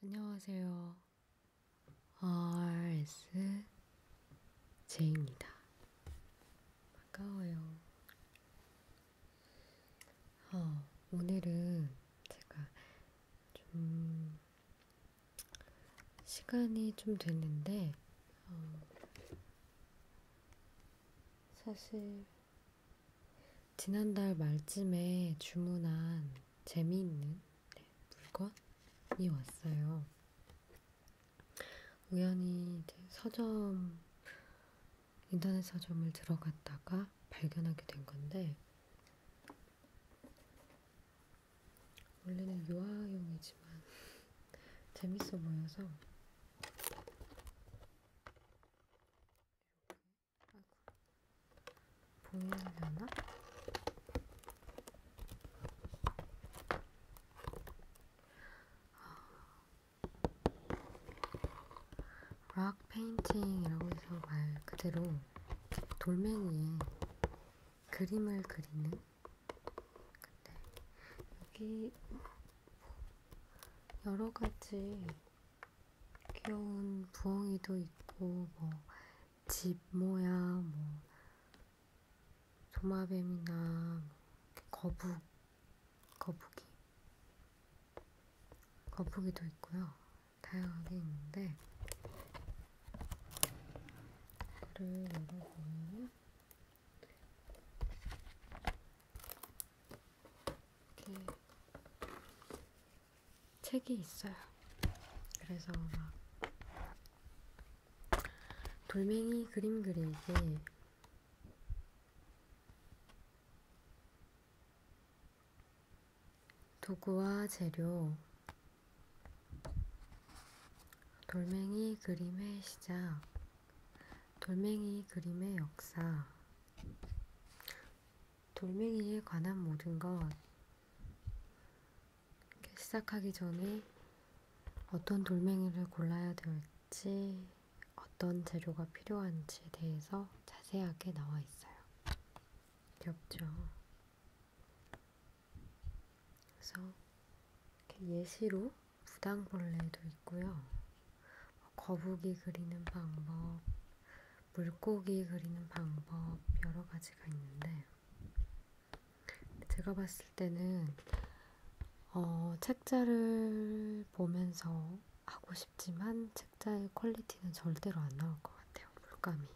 안녕하세요. RS 제입니다. 반가워요. 어, 오늘은 제가 좀 시간이 좀 됐는데 어, 사실 지난달 말쯤에 주문한 재미있는 네, 물건이 왔어요. 우연히 이제 서점, 인터넷 서점을 들어갔다가 발견하게 된 건데, 원래는 유아용이지만 재밌어 보여서 아이고. 보여야 되나? 락 페인팅이라고 해서 말 그대로 돌멩이에 그림을 그리는 근데 여기 여러 가지 귀여운 부엉이도 있고 뭐 집 모양 뭐 도마뱀이나 뭐, 거북 거북이 거북이도 있고요. 다양하게 있는데 이거를 열어보면 이렇게 책이 있어요. 그래서 막 돌멩이 그림 그리기 도구와 재료 돌멩이 그림의 시작 돌멩이 그림의 역사 돌멩이에 관한 모든 것 시작하기 전에 어떤 돌멩이를 골라야 될지 어떤 재료가 필요한지에 대해서 자세하게 나와 있어요. 귀엽죠? 그래서 예시로 부당벌레도 있고요. 뭐 거북이 그리는 방법, 물고기 그리는 방법 여러 가지가 있는데 제가 봤을 때는 어, 책자를 보면서 하고 싶지만 책자의 퀄리티는 절대로 안 나올 것 같아요. 물감이.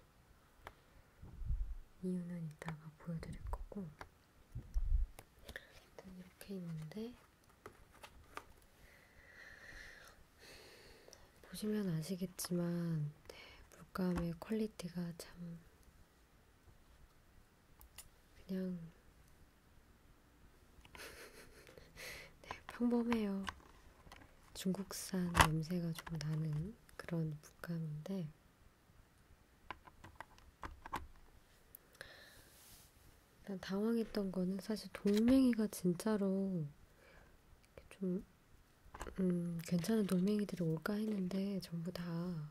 이유는 이따가 보여드릴 거고 일단 이렇게 있는데 보시면 아시겠지만 네, 물감의 퀄리티가 참 그냥 네, 평범해요. 중국산 냄새가 좀 나는 그런 물감인데 난 당황했던 거는 사실 동맹이가 진짜로 좀 음, 괜찮은 돌멩이들이 올까 했는데 전부 다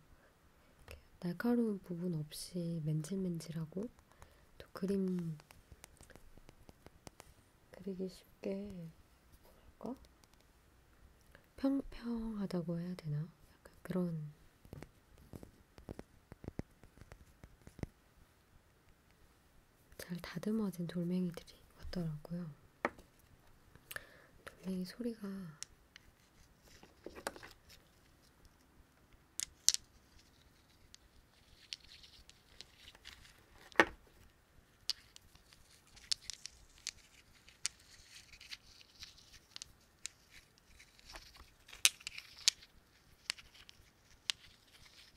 날카로운 부분 없이 맨질맨질하고 또 그림 그리기 쉽게 뭐랄까 평평하다고 해야 되나 약간 그런 잘 다듬어진 돌멩이들이 왔더라고요. 돌멩이 소리가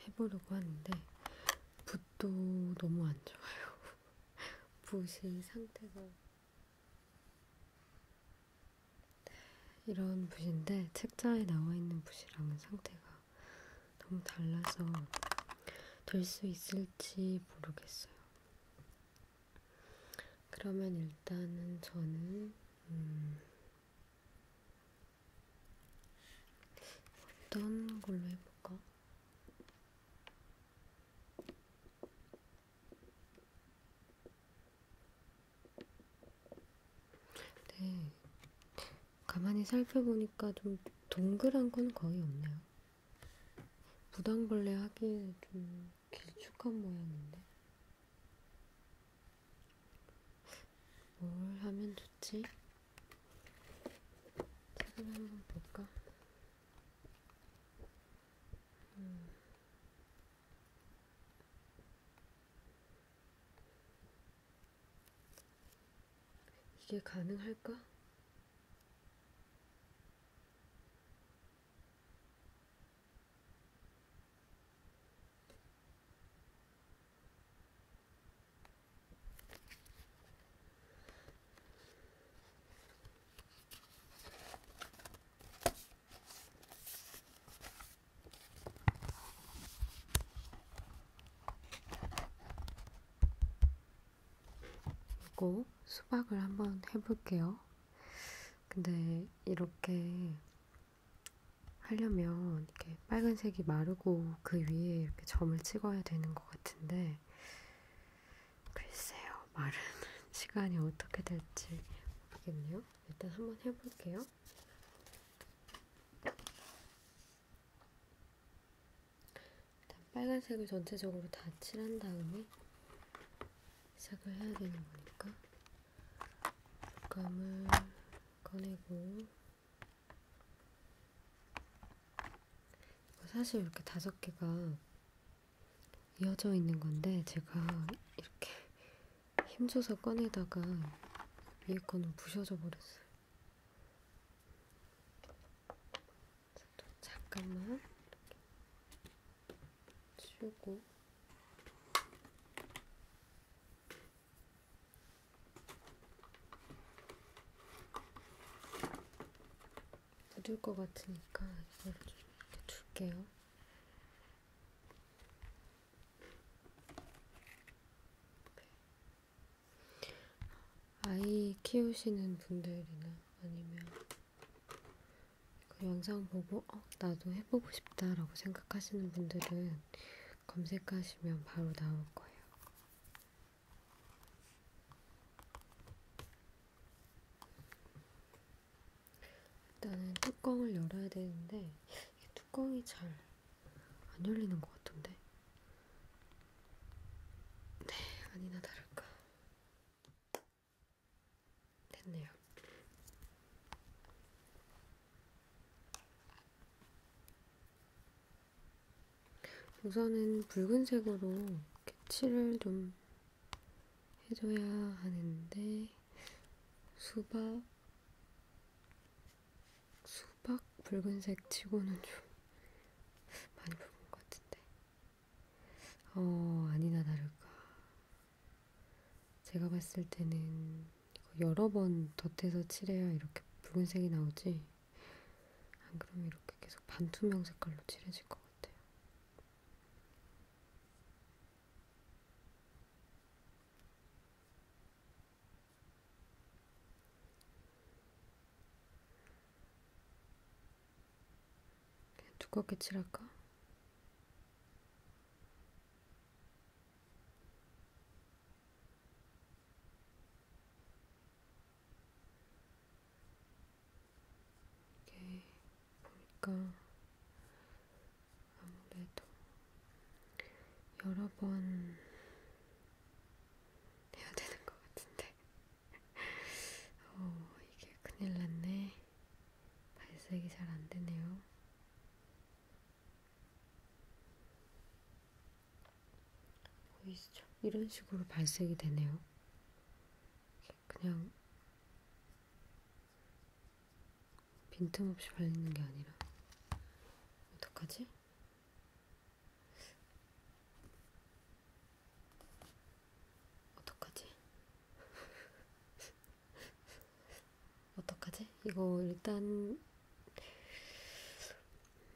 해보려고 하는데 붓도 너무 안 좋아요. 붓이 상태가 네, 이런 붓인데 책자에 나와 있는 붓이랑은 상태가 너무 달라서 될 수 있을지 모르겠어요. 그러면 일단은 저는 음 어떤 걸로 해볼까? 네, 가만히 살펴보니까 좀 동그란 건 거의 없네요. 무당벌레 하기에 좀 길쭉한 모양인데. 뭘 하면 좋지? 책을 한번 볼까? 음. 이게 가능할까? 그리고 수박을 한번 해볼게요. 근데 이렇게 하려면 이렇게 빨간색이 마르고 그 위에 이렇게 점을 찍어야 되는 것 같은데 글쎄요 마르는 시간이 어떻게 될지 모르겠네요. 일단 한번 해볼게요. 일단 빨간색을 전체적으로 다 칠한 다음에 시작을 해야 되는 거니까 물감을 꺼내고 사실 이렇게 다섯 개가 이어져 있는 건데 제가 이렇게 힘줘서 꺼내다가 위에 거는 부셔져 버렸어요. 잠깐만 이렇게 치우고 묻을 것 같으니까 이걸 좀 이렇게 둘게요. 네. 아이 키우시는 분들이나 아니면 그 영상 보고 어, 나도 해보고 싶다라고 생각하시는 분들은 검색하시면 바로 나올 거예요. 일단은 뚜껑을 열어야 되는데 이게 뚜껑이 잘 안 열리는 것 같은데. 네, 아니나 다를까. 됐네요. 우선은 붉은색으로 칠을 좀 해줘야 하는데 수박 수박 붉은색 치고는 좀 많이 붉은 것 같은데 어 아니나 다를까 제가 봤을 때는 이거 여러 번 덧대서 칠해야 이렇게 붉은색이 나오지. 안 그러면 이렇게 계속 반투명 색깔로 칠해질 것 같아요. 두껍게 칠할까? 이게 보니까 아무래도 여러 번 해야 되는 것 같은데 어, 이게 큰일 났네 발색이 잘 안 되네요. 보이시죠? 이런 식으로 발색이 되네요. 그냥 빈틈없이 발리는 게 아니라 어떡하지? 어떡하지? 어떡하지? 이거 일단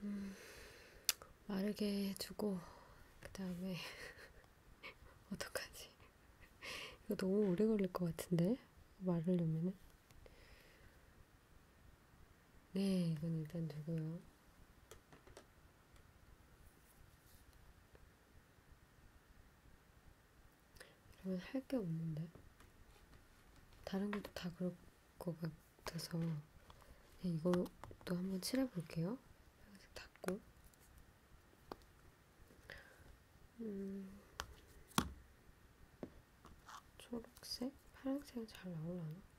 음, 마르게 해주고 그 다음에 어떡하지? 이거 너무 오래 걸릴 것 같은데 마르려면은 네 이건 일단 두고요. 그러면 할 게 없는데. 다른 것도 다 그럴 것 같아서 이걸로 또 한번 칠해볼게요. 빨간색 닫고. 음, 초록색? 파란색은 잘 나오려나?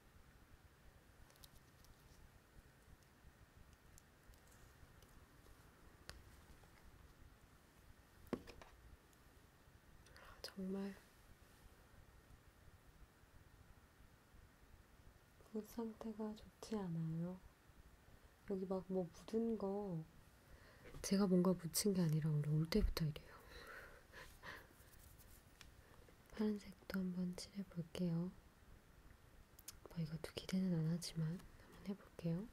정말 목 그 상태가 좋지 않아요. 여기 막 뭐 묻은 거 제가 뭔가 묻힌 게 아니라 원래 올 때부터 이래요. 파란색도 한번 칠해볼게요. 뭐 이것도 기대는 안 하지만 한번 해볼게요.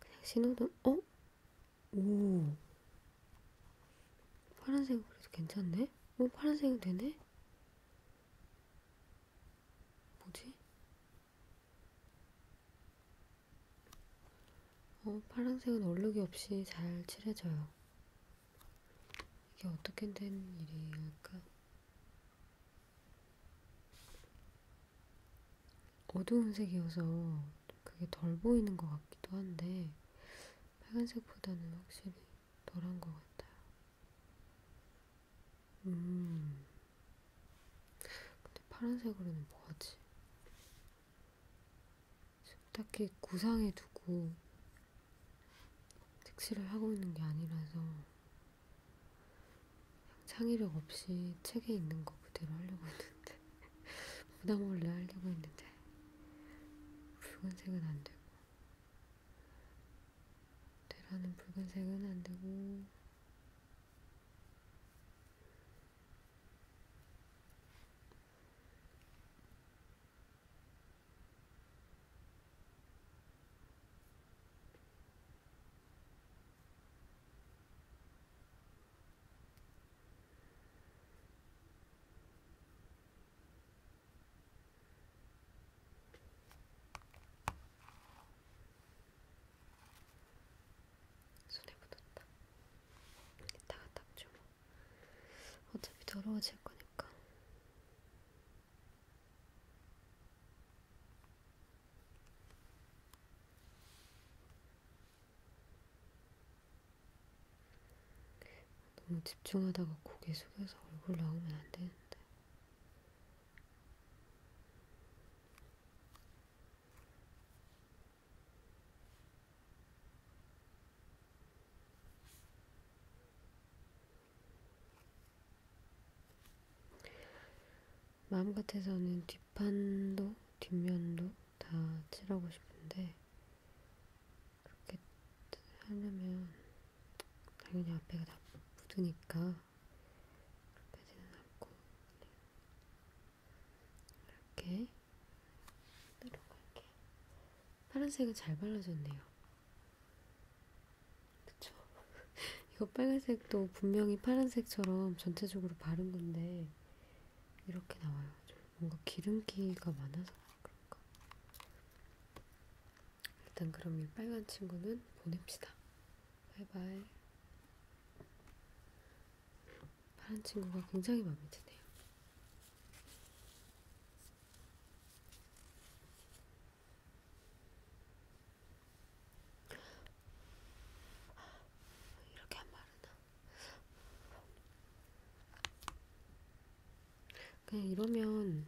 그냥 신호등, 어? 오. 파란색 그래도 괜찮네? 오, 파란색은 되네? 뭐지? 어, 파란색은 얼룩이 없이 잘 칠해져요. 이게 어떻게 된 일일까? 어두운 색이어서 그게 덜 보이는 것 같기도 한데 빨간색보다는 확실히 덜한 것 같아요. 음. 근데 파란색으로는 뭐하지? 딱히 구상해두고 색칠을 하고 있는 게 아니라서 창의력 없이 책에 있는 거 그대로 하려고 했는데 부담 몰래 하려고 했는데 붉은색은 안 되고 되라는 붉은색은 안 되고 손에 묻었다. 이따가 닦죠 뭐. 어차피 더러워질 거니까. 너무 집중하다가 고개 숙여서 얼굴 나오면 안 되는데. 마음 같아서는 뒷판도 뒷면도 다 칠하고 싶은데 그렇게 하려면 당연히 앞에가 다 묻으니까 그렇게 되는 않고 이렇게 내려갈게 파란색은 잘 발라졌네요 그쵸? 이거 빨간색도 분명히 파란색처럼 전체적으로 바른 건데 이렇게 나와요. 뭔가 기름기가 많아서 그런가? 일단 그럼 이 빨간 친구는 보냅시다. 바이바이. 파란 친구가 굉장히 마음에 드네요. 이렇게 안 마르나? 그냥 이러면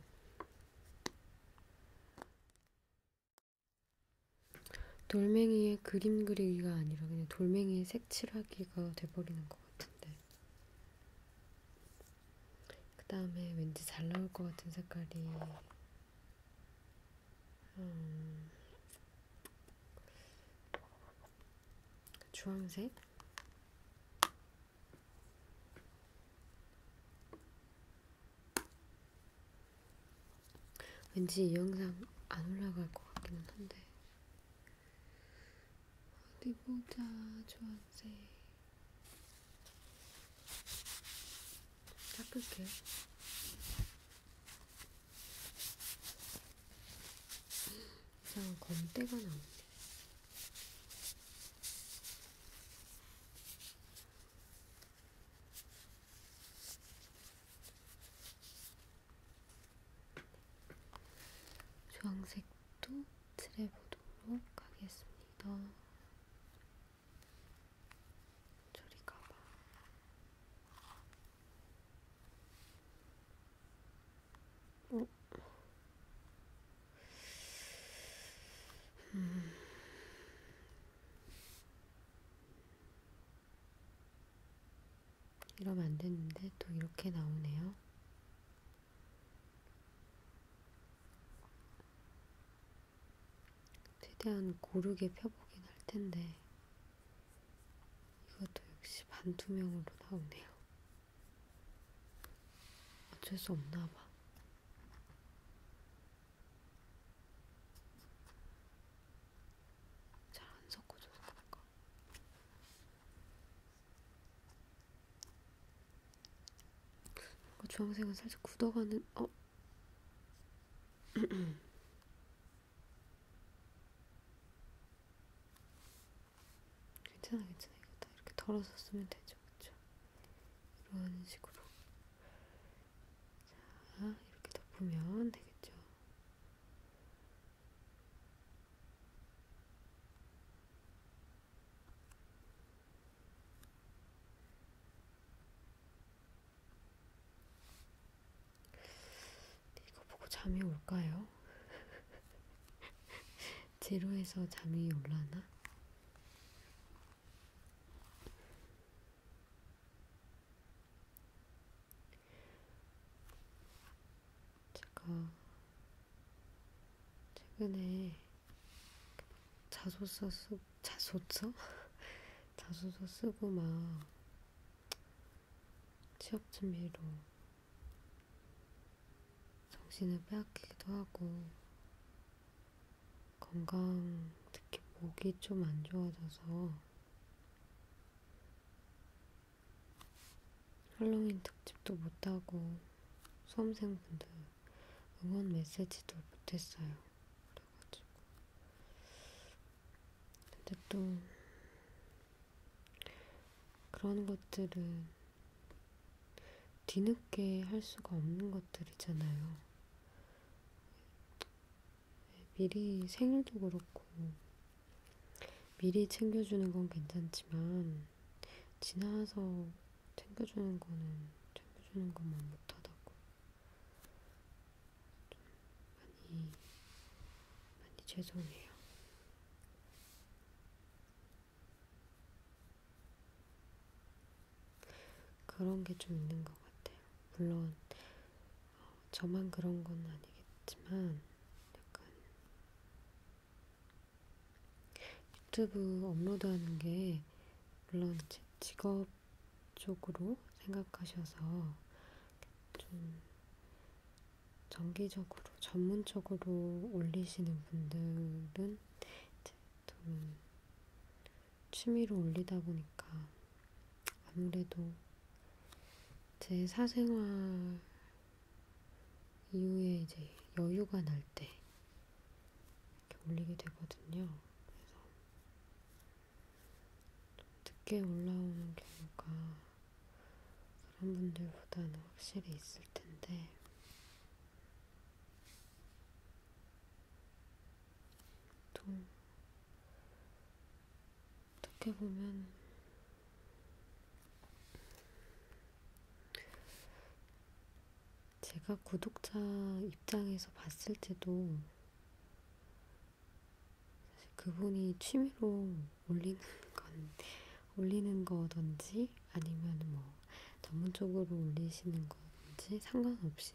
돌멩이에 그림 그리기가 아니라 그냥 돌멩이에 색칠하기가 돼버리는 것 같은데 그 다음에 왠지 잘 나올 것 같은 색깔이 음, 주황색 왠지 이 영상 안 올라갈 것 같기는 한데 어디 보자 주황색 닦을게요. 이상한 검때가 나오네. 주황색도 칠해보도록 하겠습니다. 저리 가봐. 어? 음. 이러면 안 됐는데 또 이렇게 나오네요. 최대한 고르게 펴보긴 할 텐데, 이것도 역시 반투명으로 나오네요. 어쩔 수 없나 봐. 잘 안 섞어줘서 그런가? 주황색은 살짝 굳어가는, 어? 괜찮아 괜찮아 이거 다 이렇게 덜어서 쓰면 되죠 그쵸 이런 식으로 자 이렇게 덮으면 되겠죠 이거 보고 잠이 올까요? 제로에서 잠이 올라나? 제가 최근에 자소서 쓰고 자소서? 자소서 쓰고 막 취업 준비로 정신을 빼앗기기도 하고 건강 특히 목이 좀 안 좋아져서 할로윈 특집도 못하고 수험생분들 응원 메시지도 못했어요. 그래가지고. 근데 또, 그런 것들은 뒤늦게 할 수가 없는 것들이잖아요. 미리 생일도 그렇고, 미리 챙겨주는 건 괜찮지만, 지나서 챙겨주는 거는 챙겨주는 것만 못하다고 많이, 많이 죄송해요. 그런 게 좀 있는 것 같아요. 물론, 어, 저만 그런 건 아니겠지만, 약간, 유튜브 업로드하는 게, 물론 제 직업 쪽으로 생각하셔서 좀 정기적으로 전문적으로 올리시는 분들은 이제 좀 취미로 올리다 보니까 아무래도 제 사생활 이후에 이제 여유가 날때 이렇게 올리게 되거든요. 그래서 좀 늦게 올라오는 경우가 그런 분들보다는 확실히 있을 텐데 또 어떻게 보면 제가 구독자 입장에서 봤을 때도 사실 그분이 취미로 올리는 건 올리는 거든지 아니면 뭐 전문적으로 올리시는 건지 상관없이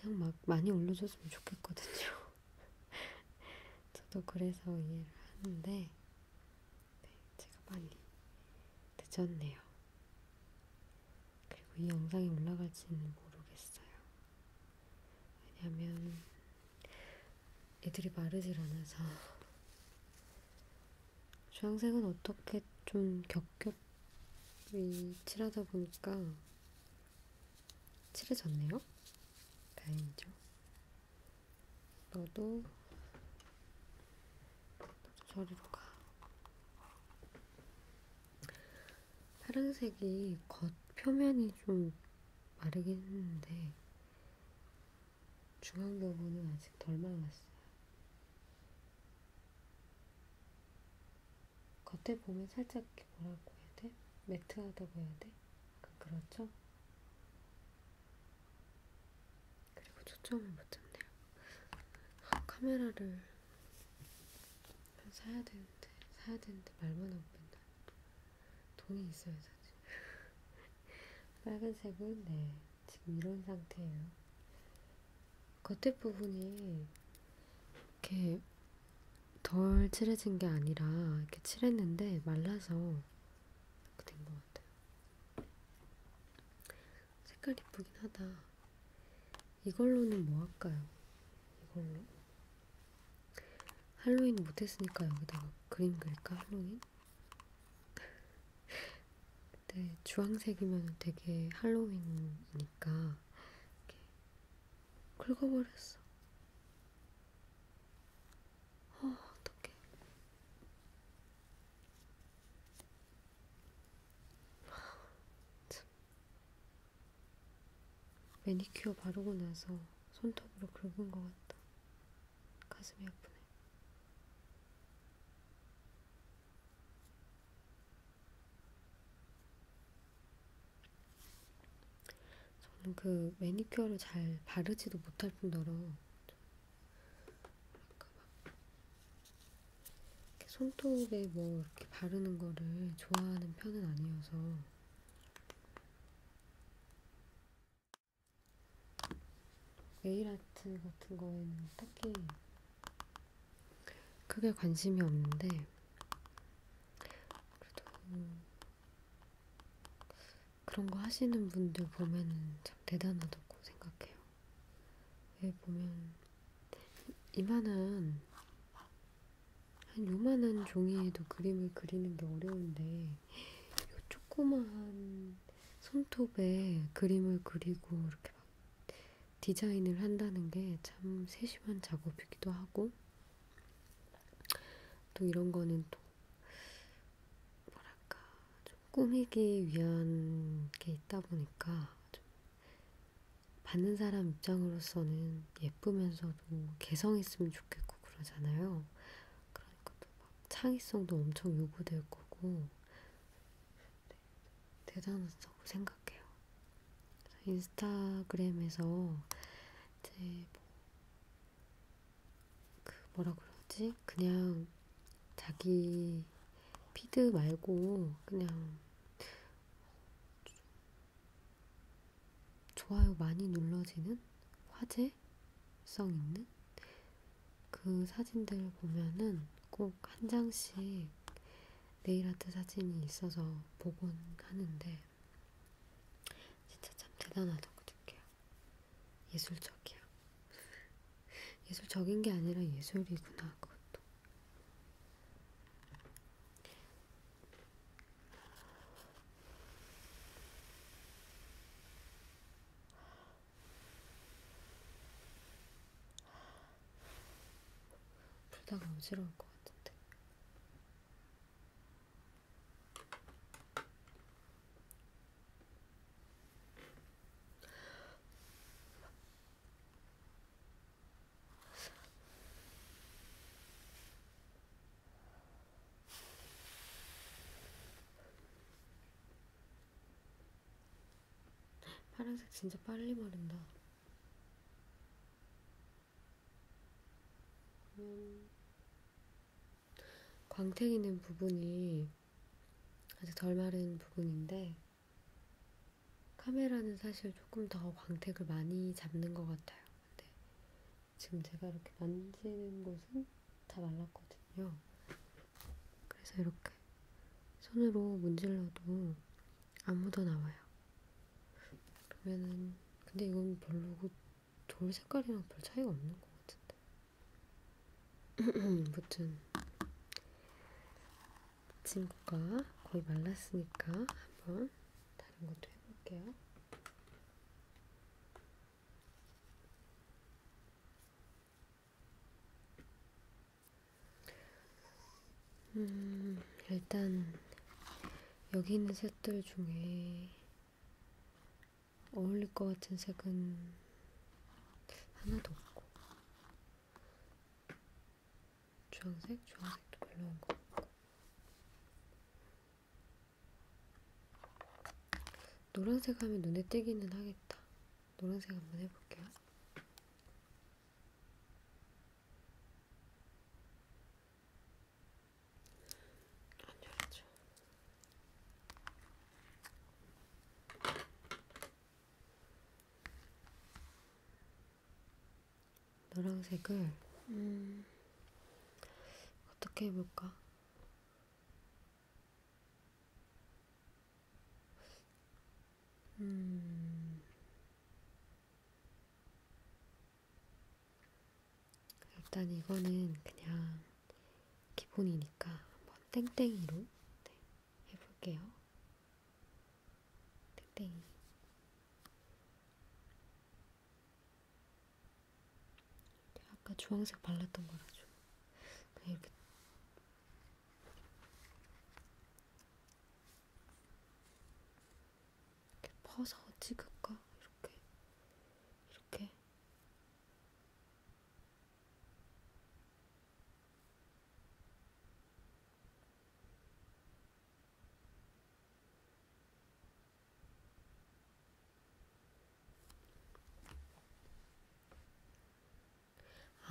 그냥 막 많이 올려줬으면 좋겠거든요. 저도 그래서 이해를 하는데 네, 제가 많이 늦었네요. 그리고 이 영상이 올라갈지는 모르겠어요. 왜냐면 애들이 마르질 않아서 주황색은 어떻게 좀 겹겹이 칠하다 보니까 칠해졌네요. 다행이죠. 너도 너도 저리로 가. 파란색이 겉 표면이 좀 마르긴 했는데 중앙 부분은 아직 덜 말랐어요. 겉에 보면 살짝 뭐라고 해야 돼? 매트하다고 해야 돼? 약간 그렇죠? 그리고 초점을 못 잡네요. 카메라를 사야 되는데, 사야 되는데 말만 하고 맨날 돈이 있어야 사지. 빨간색은 네, 지금 이런 상태예요. 겉에 부분이 이렇게 덜 칠해진 게 아니라 이렇게 칠했는데 말라서 이렇게 된 것 같아요. 색깔 이쁘긴 하다. 이걸로는 뭐 할까요? 이걸로 할로윈 못했으니까 여기다가 그림 그릴까 할로윈? 근데 네, 주황색이면 되게 할로윈이니까 이렇게 긁어버렸어. 어, 어떡해. 참. 매니큐어 바르고 나서 손톱으로 긁은 것 같다. 가슴이 아프네. 저는 그 매니큐어를 잘 바르지도 못할 뿐더러, 약간 막 이렇게 손톱에 뭐 이렇게 바르는 거를 좋아하는 편은 아니어서 네일 아트 같은 거에는 딱히 크게 관심이 없는데 그래도 그런 거 하시는 분들 보면은 참 대단하다고 생각해요. 왜 예, 보면 이만한 한 요만한 종이에도 그림을 그리는 게 어려운데 요 조그마한 손톱에 그림을 그리고 이렇게 막 디자인을 한다는 게 참 세심한 작업이기도 하고 또 이런 거는 또 뭐랄까 좀 꾸미기 위한 게 있다 보니까 좀 받는 사람 입장으로서는 예쁘면서도 개성 있으면 좋겠고 그러잖아요. 그러니까 또 막 창의성도 엄청 요구될 거고 네, 대단하다고 생각해요. 인스타그램에서 이제 뭐그 뭐라 그러지? 그냥 자기 피드 말고 그냥 좋아요 많이 눌러지는 화제성 있는 그 사진들 보면은 꼭 한 장씩 네일아트 사진이 있어서 보곤 하는데 진짜 참 대단하다고 느껴요. 예술적이야. 예술적인 게 아니라 예술이구나 그것도. 불다가 어지러울 것 같은데. 파란색 진짜 빨리 마른다. 음. 광택 있는 부분이 아직 덜 마른 부분인데 카메라는 사실 조금 더 광택을 많이 잡는 것 같아요. 근데 지금 제가 이렇게 만지는 곳은 다 말랐거든요. 그래서 이렇게 손으로 문질러도 안 묻어나와요. 그러면은 근데 이건 별로고 돌 색깔이랑 별 차이가 없는 것 같은데. 무튼 친구가 거의 말랐으니까 한번 다른 것도 해볼게요. 음, 일단 여기 있는 색들 중에 어울릴 것 같은 색은 하나도 없고 주황색? 주황색도 별로인 것 같고 노란색 하면 눈에 띄기는 하겠다 노란색 한번 해볼게요 안열죠 노란색을 음, 어떻게 해볼까? 음, 일단 이거는 그냥 기본이니까 한번 땡땡이로 네. 해볼게요. 땡땡이. 아까 주황색 발랐던 거라서 그냥 이렇게 이렇게 퍼서 찍을까? 이렇게 이렇게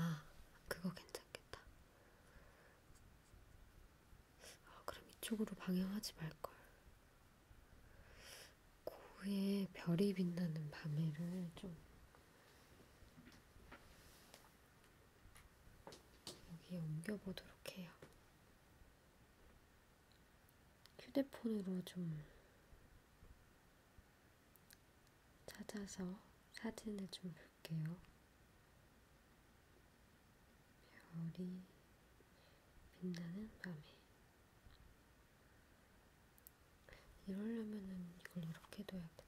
아, 그거 괜찮겠다. 아, 그럼 이쪽으로 방향하지 말걸. 고에 별이 빛나는 밤에를 좀 여기에 옮겨보도록 해요. 휴대폰으로 좀 찾아서 사진을 좀 볼게요. 별이 빛나는 밤에 이러려면은 이걸 이렇게 둬야겠다.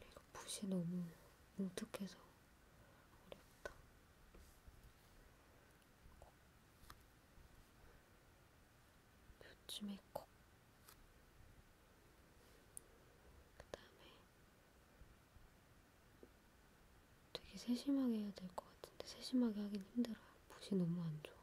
이거 붓이 너무 뭉툭해서 어렵다. 요쯤에 콕. 그 다음에 되게 세심하게 해야 될 것 같은데 세심하게 하긴 힘들어요. 붓이 너무 안 좋아.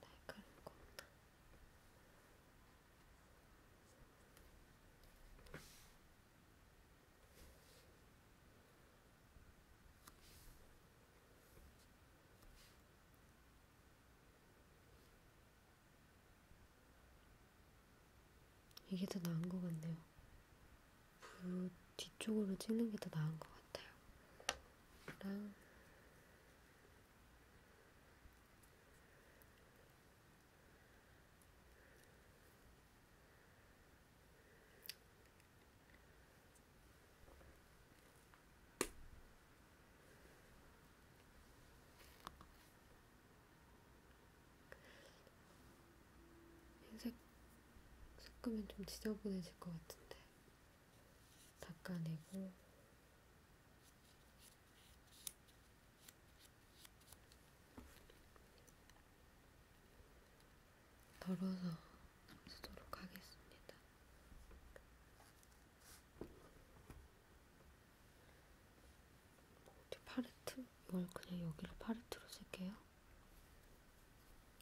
날카로운 겁니다. 이게 더 나은 것 같네요. 그 뒤쪽으로 찍는 게 더 나은 것 같아요. 그랑 흰색 섞으면 좀 지저분해질 것 같은데 닦아내고 덜어서 쓰도록 하겠습니다. 파레트? 이걸 그냥 여기를 파레트로 쓸게요.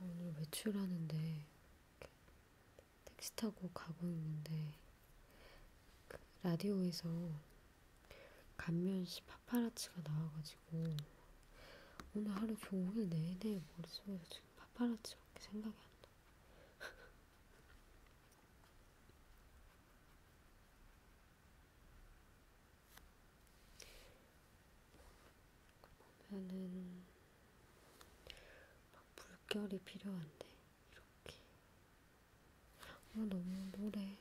오늘 외출하는데 택시 타고 가고 있는데 그 라디오에서 감면씨 파파라치가 나와가지고 오늘 하루 종일 내내 머릿속에서 지금 파파라치밖에 생각이 안 나. 그러면은 막 물결이 필요한데 이렇게 아 너무 노래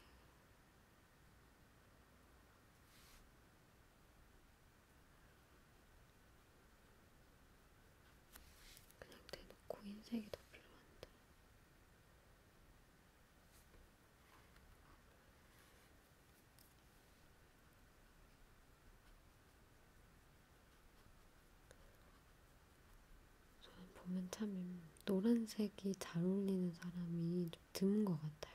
그냥 대놓고 흰색이 더 필요한데. 저는 보면 참 노란색이 잘 어울리는 사람이 좀 드문 것 같아요.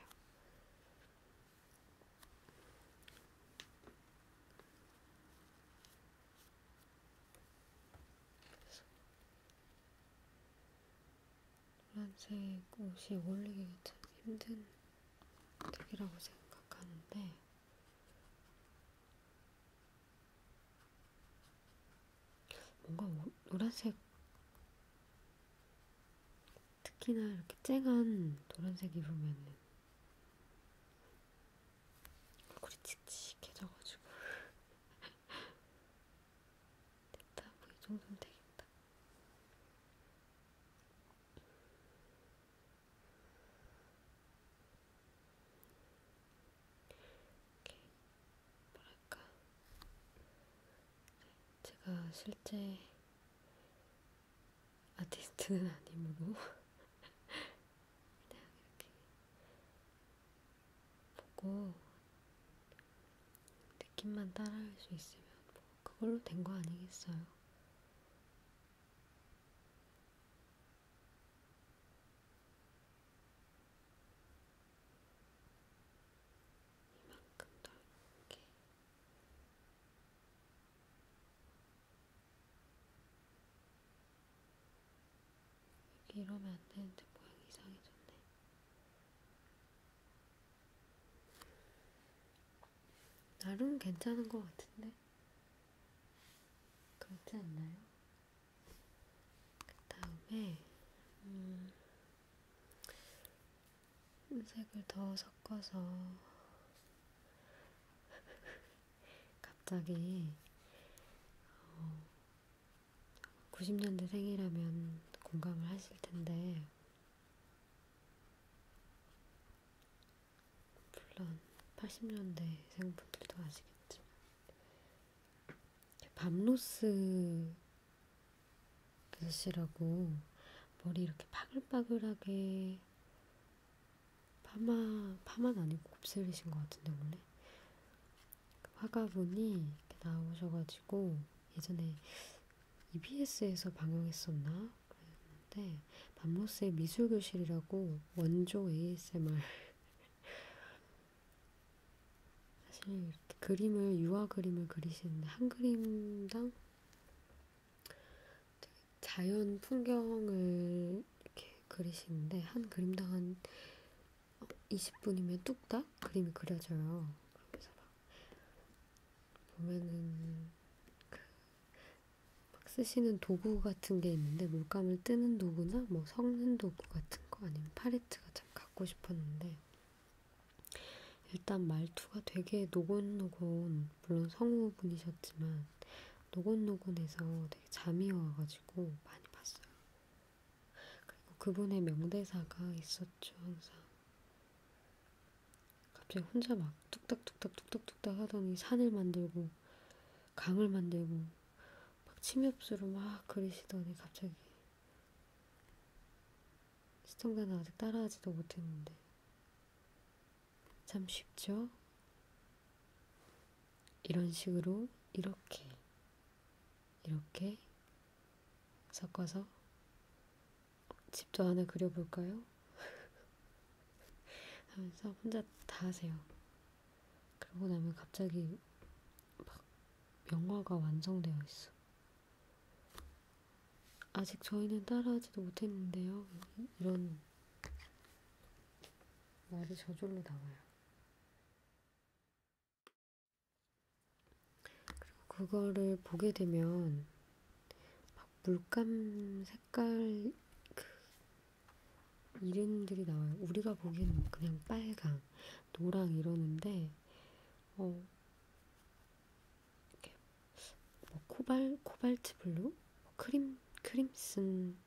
노란색 옷이 어울리기가 참 힘든 색이라고 생각하는데 뭔가 오, 노란색 특히나 이렇게 쨍한 노란색 입으면은 얼굴이 칙칙해져가지고 됐다 뭐이 정도면 되겠다 이렇게 뭐랄까 네, 제가 실제 아티스트는 아니므로 그냥 이렇게 보고 느낌만 따라할 수 있으면 뭐 그걸로 된 거 아니겠어요? 이만큼 넓게 여기 이러면 안 되는데 모양 이상해졌네. 이 나름 괜찮은 것 같은데? 그렇지 않나요? 그 다음에, 음, 색을 더 섞어서, 갑자기, 어, 90년대생이라면 공감을 하실 텐데, 물론 80년대생 분들도 아시겠지만 밤로스 아저씨라고 머리 이렇게 파글파글하게 파마 파마는 아니고 곱슬이신 것 같은데 원래 그 화가분이 이렇게 나오셔가지고 예전에 EBS에서 방영했었나? 그랬는데 밤모스의 미술교실이라고 원조 ASMR 사실 그림을 유화 그림을 그리시는데 한 그림당 되게 자연 풍경을 이렇게 그리시는데 한 그림당 한 20분이면 뚝딱 그림이 그려져요. 그래서 막 보면은 그막 쓰시는 도구 같은 게 있는데 물감을 뜨는 도구나 뭐 섞는 도구 같은 거 아니면 팔레트가 참 갖고 싶었는데 일단 말투가 되게 노곤노곤 물론 성우분이셨지만 노곤노곤해서 되게 잠이 와가지고 많이 봤어요. 그리고 그분의 명대사가 있었죠 항상. 갑자기 혼자 막 뚝딱뚝딱 뚝딱뚝딱 하더니 산을 만들고 강을 만들고 막 침엽수로 막 그리시더니 갑자기 시청자는 아직 따라하지도 못했는데 참 쉽죠? 이런 식으로 이렇게 이렇게 섞어서 집도 하나 그려볼까요? 하면서 혼자 다 하세요. 그러고 나면 갑자기 막 명화가 완성되어 있어. 아직 저희는 따라하지도 못했는데요. 이런 말이 저절로 나와요. 그리고 그거를 보게 되면 막 물감 색깔 그 이름들이 나와요. 우리가 보기에는 그냥 빨강, 노랑 이러는데 어 이렇게 뭐 코발 코발트 블루, 뭐 크림 크림슨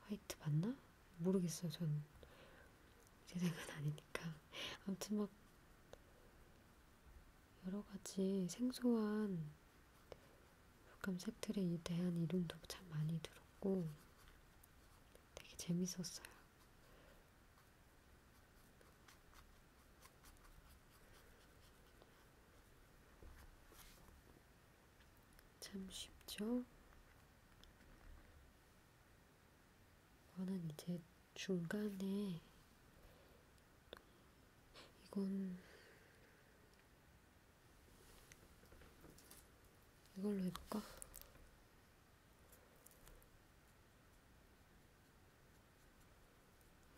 화이트 맞나? 모르겠어요. 전제 생각은 아니니까 아무튼 막 여러 가지 생소한 감색들에 대한 이름도 참 많이 들었고 되게 재밌었어요. 참 쉽죠? 저는 이제 중간에 이건 이걸로 해볼까?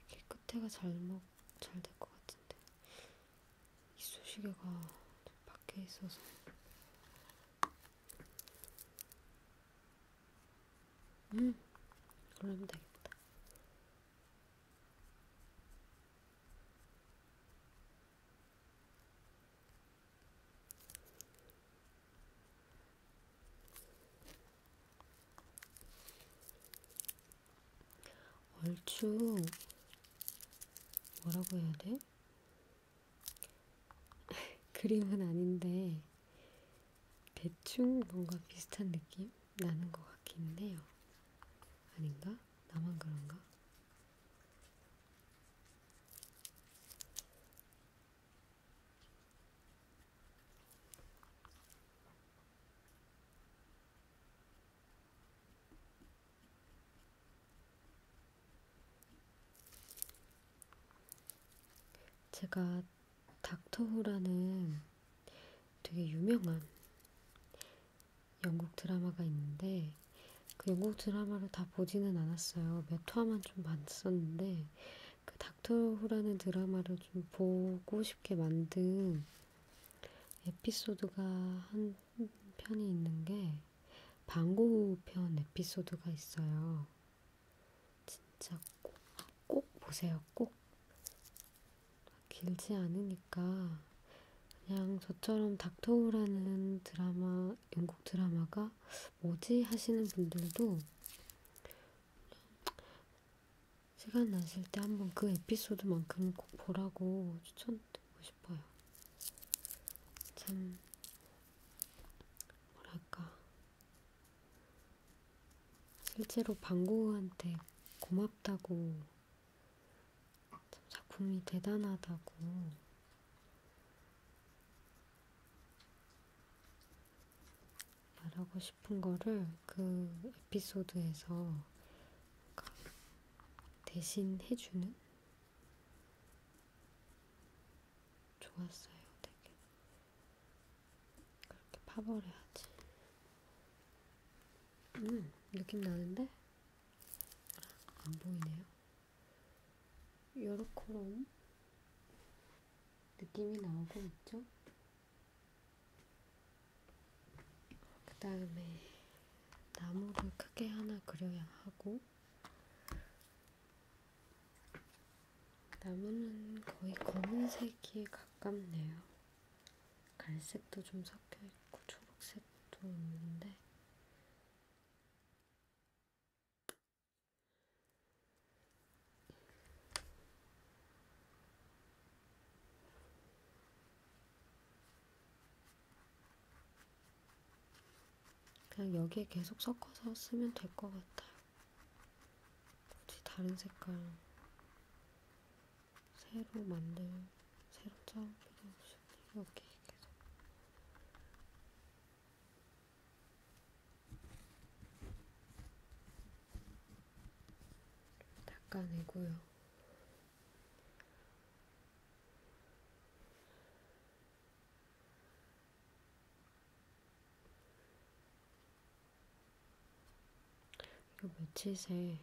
이렇게 끝에가 잘못 잘될 것 같은데 이쑤시개가 밖에 있어서 음, 그러면 되겠다. 얼추 뭐라고 해야 돼? 그림은 아닌데 대충 뭔가 비슷한 느낌 나는 것 같기는 해요. 아닌가? 나만 그런가? 제가 닥터후라는 되게 유명한 영국 드라마가 있는데 그 영국 드라마를 다 보지는 않았어요. 몇 화만 좀 봤었는데 그 닥터후라는 드라마를 좀 보고 싶게 만든 에피소드가 한 편이 있는 게 방고편 에피소드가 있어요. 진짜 꼭, 꼭 보세요. 꼭. 길지 않으니까 그냥 저처럼 닥터우라는 드라마, 영국 드라마가 뭐지 하시는 분들도 시간 나실 때 한번 그 에피소드만큼은 꼭 보라고 추천드리고 싶어요. 참, 뭐랄까. 실제로 방고우한테 고맙다고 작품이 대단하다고 말하고 싶은 거를 그 에피소드에서 대신 해주는 좋았어요, 되게. 그렇게 파버려야지. 음, 느낌 나는데? 안 보이네요. 요렇게 느낌이 나오고 있죠? 그 다음에 나무를 크게 하나 그려야 하고 나무는 거의 검은색이 가깝네요. 갈색도 좀 섞여있고 초록색도 있는데 그냥 여기에 계속 섞어서 쓰면 될 것 같아요. 굳이 다른 색깔 새로 만들 새로 짜올 필요 없이 이렇게 계속 닦아내고요. 요 며칠 새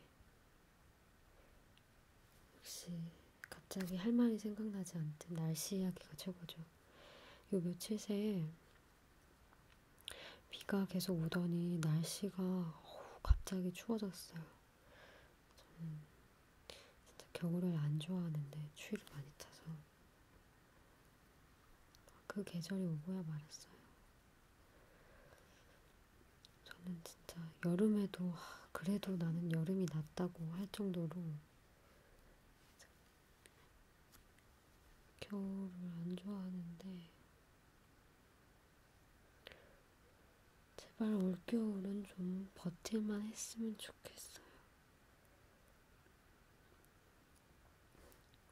역시 갑자기 할 말이 생각나지 않든 날씨 이야기가 최고죠. 요 며칠 새 비가 계속 오더니 날씨가 어우, 갑자기 추워졌어요. 저는 진짜 겨울을 안 좋아하는데 추위를 많이 타서 그 계절이 오고야 말았어요. 저는 진짜 여름에도 그래도 나는 여름이 낫다고 할 정도로 겨울을 안 좋아하는데 제발 올겨울은 좀 버틸만 했으면 좋겠어요.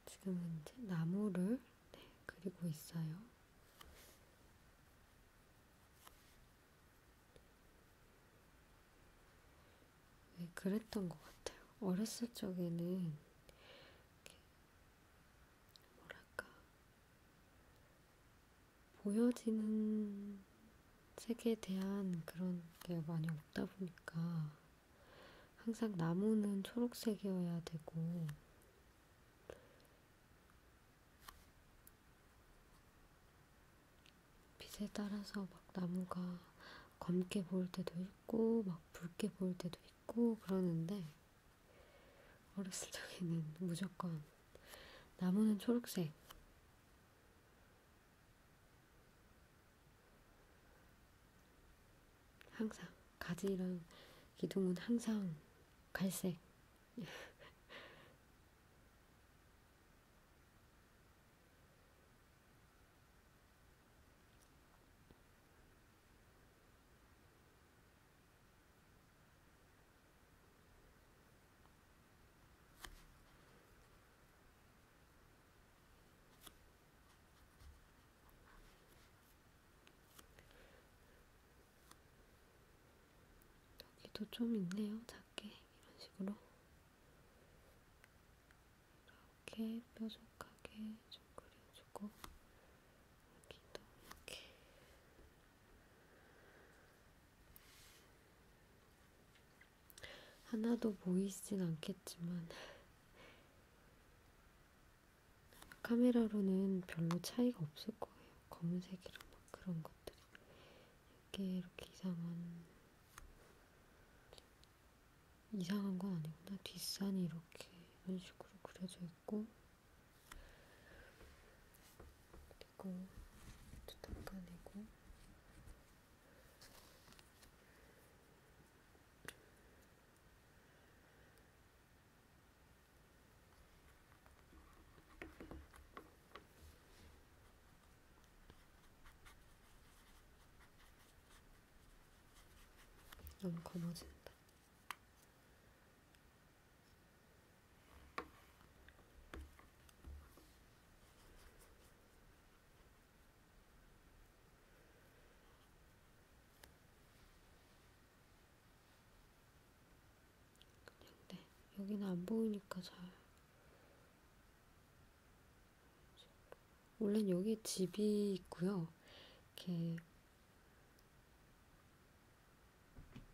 지금은 이제 나무를 네, 그리고 있어요. 네, 그랬던 것 같아요. 어렸을 적에는 이렇게 뭐랄까 보여지는 세계에 대한 그런 게 많이 없다 보니까 항상 나무는 초록색이어야 되고, 빛에 따라서 막 나무가 검게 보일 때도 있고, 막 붉게 보일 때도 있고, 그러는데, 어렸을 적에는 무조건 나무는 초록색. 항상 가지랑 기둥은 항상 갈색. 여기도 좀 있네요. 작게 이런 식으로 이렇게 뾰족하게 좀 그려주고 여기도 이렇게 하나도 보이진 않겠지만 카메라로는 별로 차이가 없을 거예요. 검은색이랑 막 그런 것들이. 이게 이렇게 이상한, 이상한 건 아니구나. 뒷산이 이렇게 이런 식으로 그려져 있고. 그리고 또 닦아내고. 너무 검어진다. 그냥 네, 여기는 안 보이니까 잘. 원래 여기 집이 있고요. 이렇게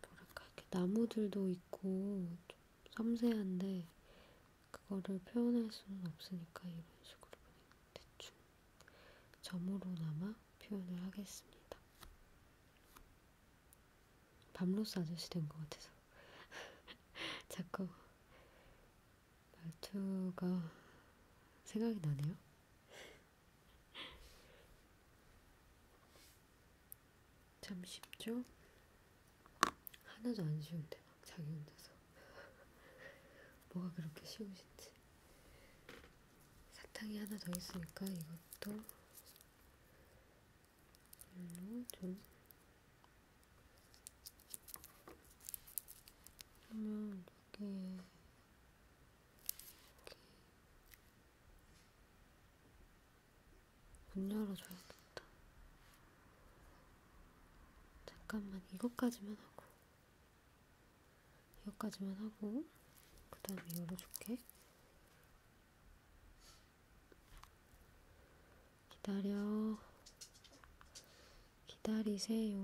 뭐랄까 이렇게 나무들도 있고 좀 섬세한데 그거를 표현할 수는 없으니까 이런 식으로 대충 점으로나마 표현을 하겠습니다. 밤로스 아저씨 된 것 같아서 자꾸 말투가 생각이 나네요. 참 쉽죠? 하나도 안 쉬운데 막 자기 혼자서 뭐가 그렇게 쉬우신지. 사탕이 하나 더 있으니까 이것도 별로 좀. 그러면 여기에 이렇게 문 열어줘야겠다. 잠깐만 이것까지만 하고. 여기까지만 하고 그 다음에 열어줄게. 기다려. 기다리세요.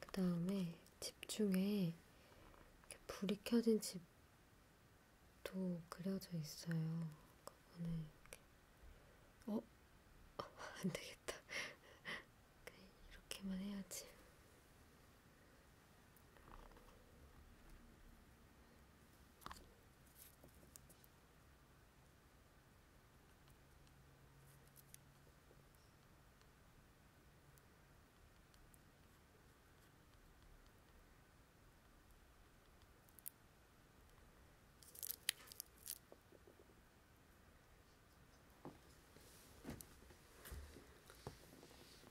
그 다음에 집 중에 불이 켜진 집도 그려져 있어요. 그거는 이렇게 어? 안 되겠다. 이렇게만 해야지.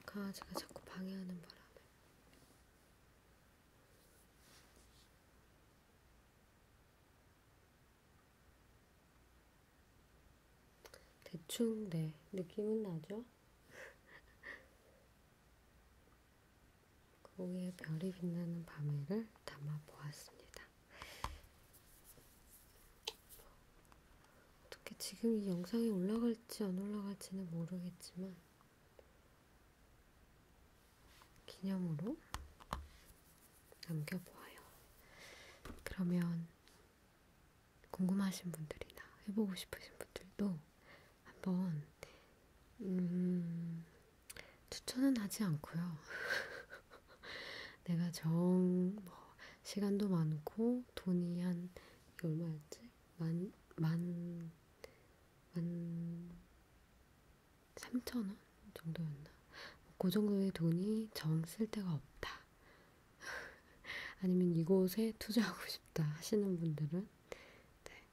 강아지가 자꾸 방해하는 바람에 대충 네 느낌은 나죠? 거기에 별이 빛나는 밤에를 담아 보았습니다. 어떻게 지금 이 영상이 올라갈지 안 올라갈지는 모르겠지만 기념으로 남겨보아요. 그러면 궁금하신 분들이나 해보고 싶으신 분들도 한번 네. 음, 추천은 하지 않고요. 내가 정 뭐, 시간도 많고 돈이 한 얼마였지? 만, 만, 만 3천원 정도였나? 그 정도의 돈이 정 쓸 데가 없다. 아니면 이곳에 투자하고 싶다 하시는 분들은 네,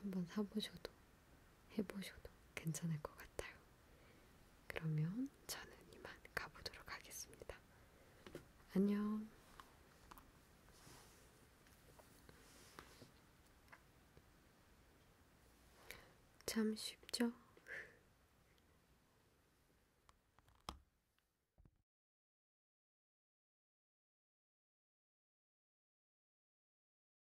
한번 사보셔도 해보셔도 괜찮을 것 같아요. 그러면 저는 이만 가보도록 하겠습니다. 안녕! 참 쉽죠?